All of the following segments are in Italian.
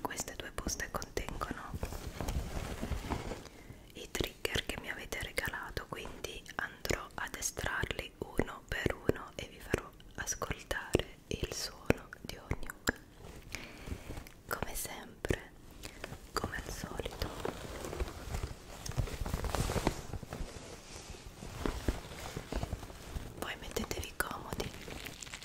Queste due buste contengono i trigger che mi avete regalato, quindi andrò ad estrarli uno per uno e vi farò ascoltare il suono di ognuno. Come sempre, come al solito. Voi mettetevi comodi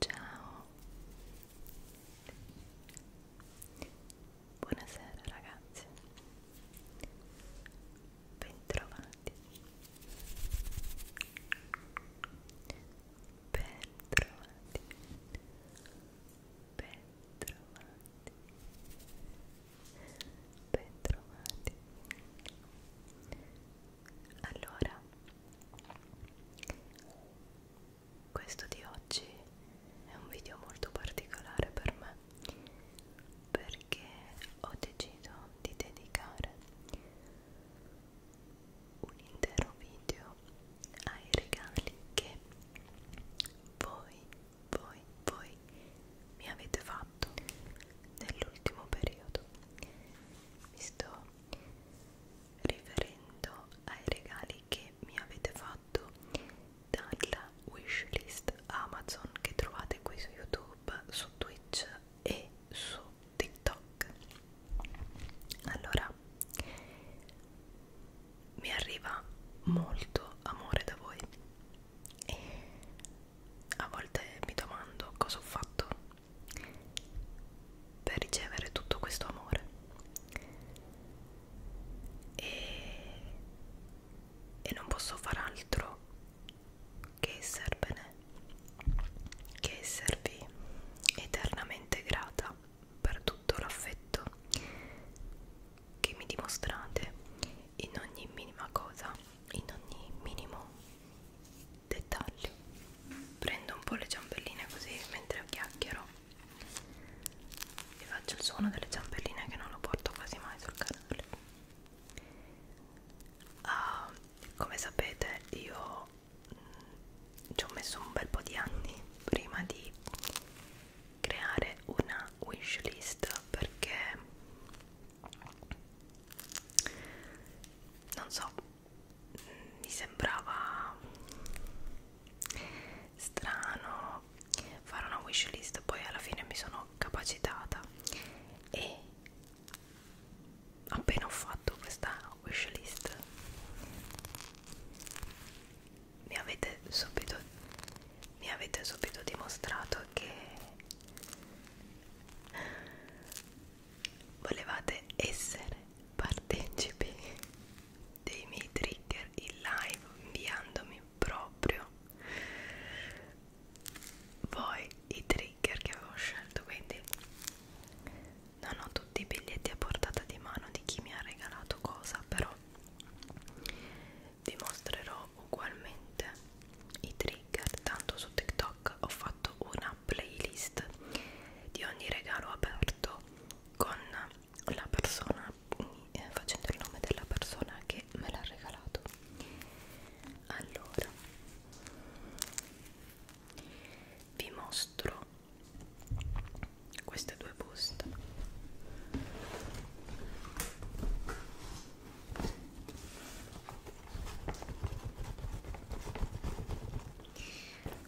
Ciao. Buonasera ragazzi. Bentrovati. Bentrovati. Bentrovati, bentrovati. Allora, questo di oggi è un video molto particolare per me perché ho deciso di dedicare un intero video ai regali che voi voi, voi mi avete fatto nell'ultimo periodo. Mi sto riferendo ai regali che mi avete fatto dalla wishlist Amazon che trovate qui su YouTube, su Twitch e su TikTok. Allora, mi arriva molto amore da voi e a volte mi domando cosa ho fatto per ricevere tutto questo amore e, e non posso far altro che esservene che esservi eternamente grata per tutto l'affetto che mi dimostrate in ogni minima cosa, in ogni minimo dettaglio. Prendo un po' le ciambelline così mentre chiacchiero e faccio il suono delle ciambelline che non lo porto quasi mai sul canale. Ah, come sapete io mh, mm, ci ho messo un bel po' di anni prima di creare una wishlist perché non so mi sembrava strano fare una wishlist poi alla fine mi sono capacitata e appena ho fatto questa wishlist mi avete subito mi avete subito dimostrato che volevate essere partecipi dei miei trigger in live inviandomi proprio voi i trigger che avevo scelto quindi non ho tutti i biglietti a portata di mano di chi mi ha regalato cosa però vi mostrerò ugualmente i trigger tanto su tiktok ho fatto una playlist di ogni regalo aperto con la persona eh, facendo il nome della persona che me l'ha regalato allora vi mostro queste due buste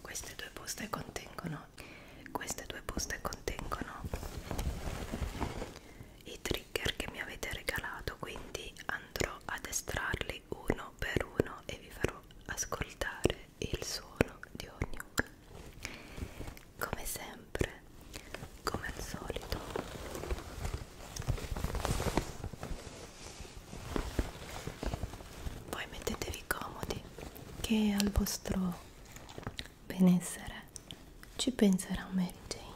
queste due buste contengono queste due buste contengono i trigger che mi avete regalato quindi andrò ad estrarli uno per uno e vi farò ascoltare il suono di ogni uno come sempre come al solito voi mettetevi comodi che al vostro benessere ci penserà Mary Jane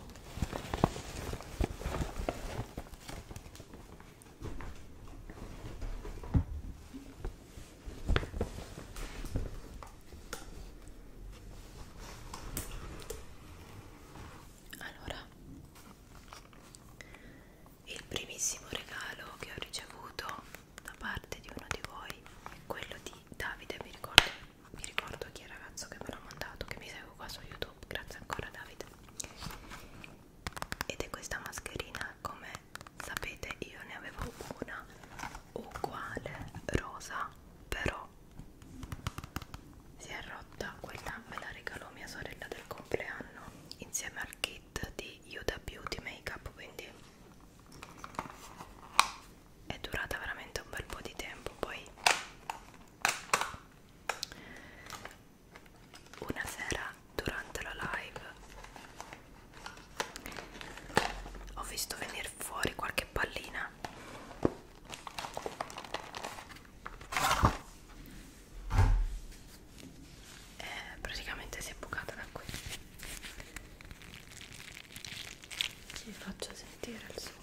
allora, il primissimo regalo che ho ricevuto da parte di uno di voi è quello di Davide, mi ricordo, mi ricordo chi è il ragazzo che me l'ha mandato, che mi segue qua su YouTube, grazie ancora Davide. Ed è questa mascherina come sapete io ne avevo una uguale rosa però si è rotta quella me la regalò mia sorella del compleanno insieme al kit di Yuda Beauty Makeup quindi è durata veramente un bel po' di tempo poi una sera durante la live ho visto venire fuori qualche pallina e eh, praticamente si è bucata da qui ci faccio sentire il suono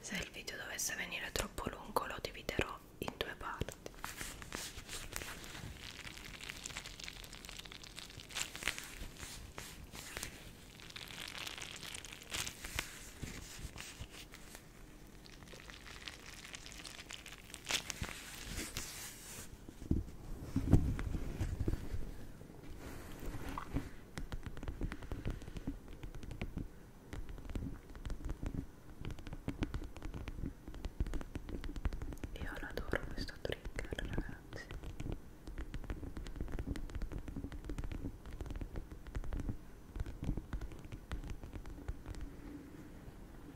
Se il video dovesse venire troppo lungo lo dividerò in due parti. Io adoro questo trigger ragazzi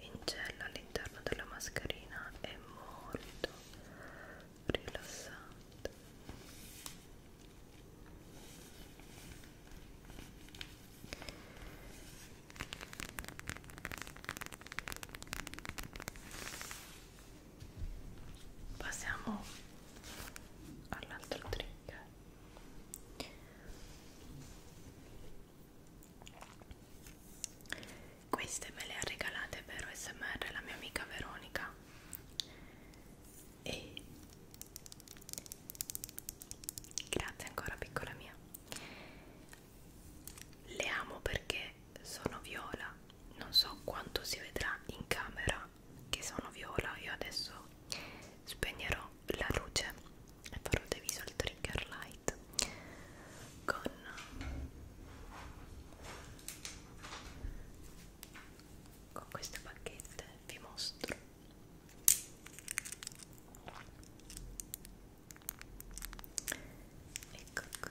in gel all'interno della mascherina è molto rilassante passiamo all'altro trick queste me le ha regalate per smr la mia amica Veronica e grazie ancora piccola mia le amo perché sono viola non so quanto si vedrà in camera che sono viola io adesso spegnerò la luce e farò dei visual trigger light con con queste bacchette vi mostro ecco qui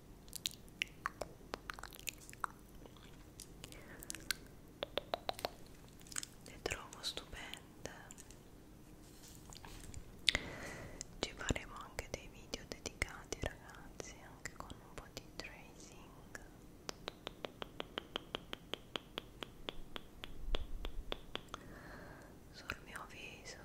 le trovo stupende ci faremo anche dei video dedicati ragazzi anche con un po' di tracing sul mio viso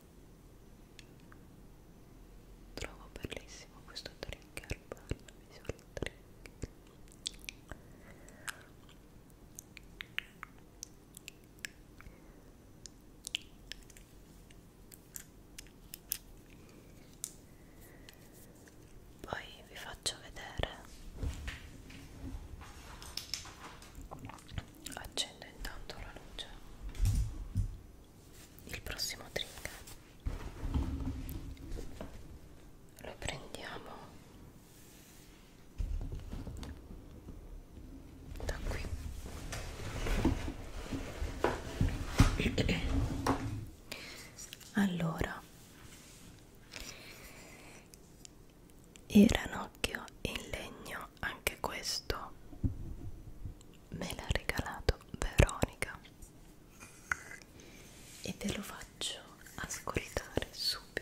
Trovo bellissimo questo drink herbal visual drink poi vi faccio vedere accendo intanto la luce il prossimo trigger lo prendiamo da qui allora il ranocchio in legno anche questo me l'ha regalato Veronica e ve lo faccio ascoltare subito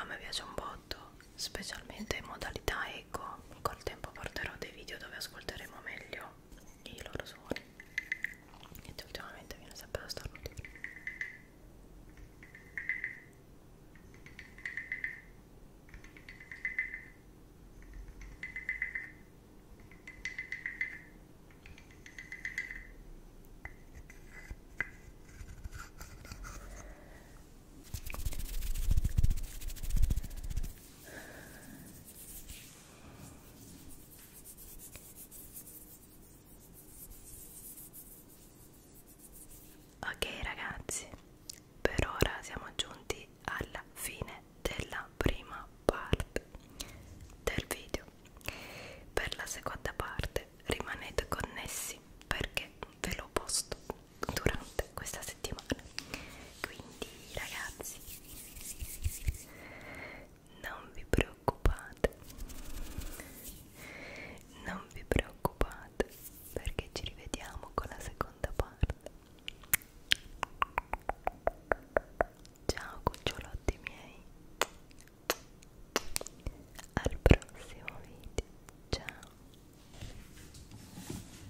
A me piace un botto, specialmente in modalità eco. Col tempo porterò dei video dove ascolteremo meglio i loro suoni e ultimamente viene sempre da stornutire Ok ragazzi, per ora siamo giunti alla fine della prima parte del video. Per la seconda parte rimanete connessi perché ve lo posto durante questa settimana quindi ragazzi non vi preoccupate non vi preoccupate perché ci rivediamo con la seconda parte ciao cucciolotti miei al prossimo video ciao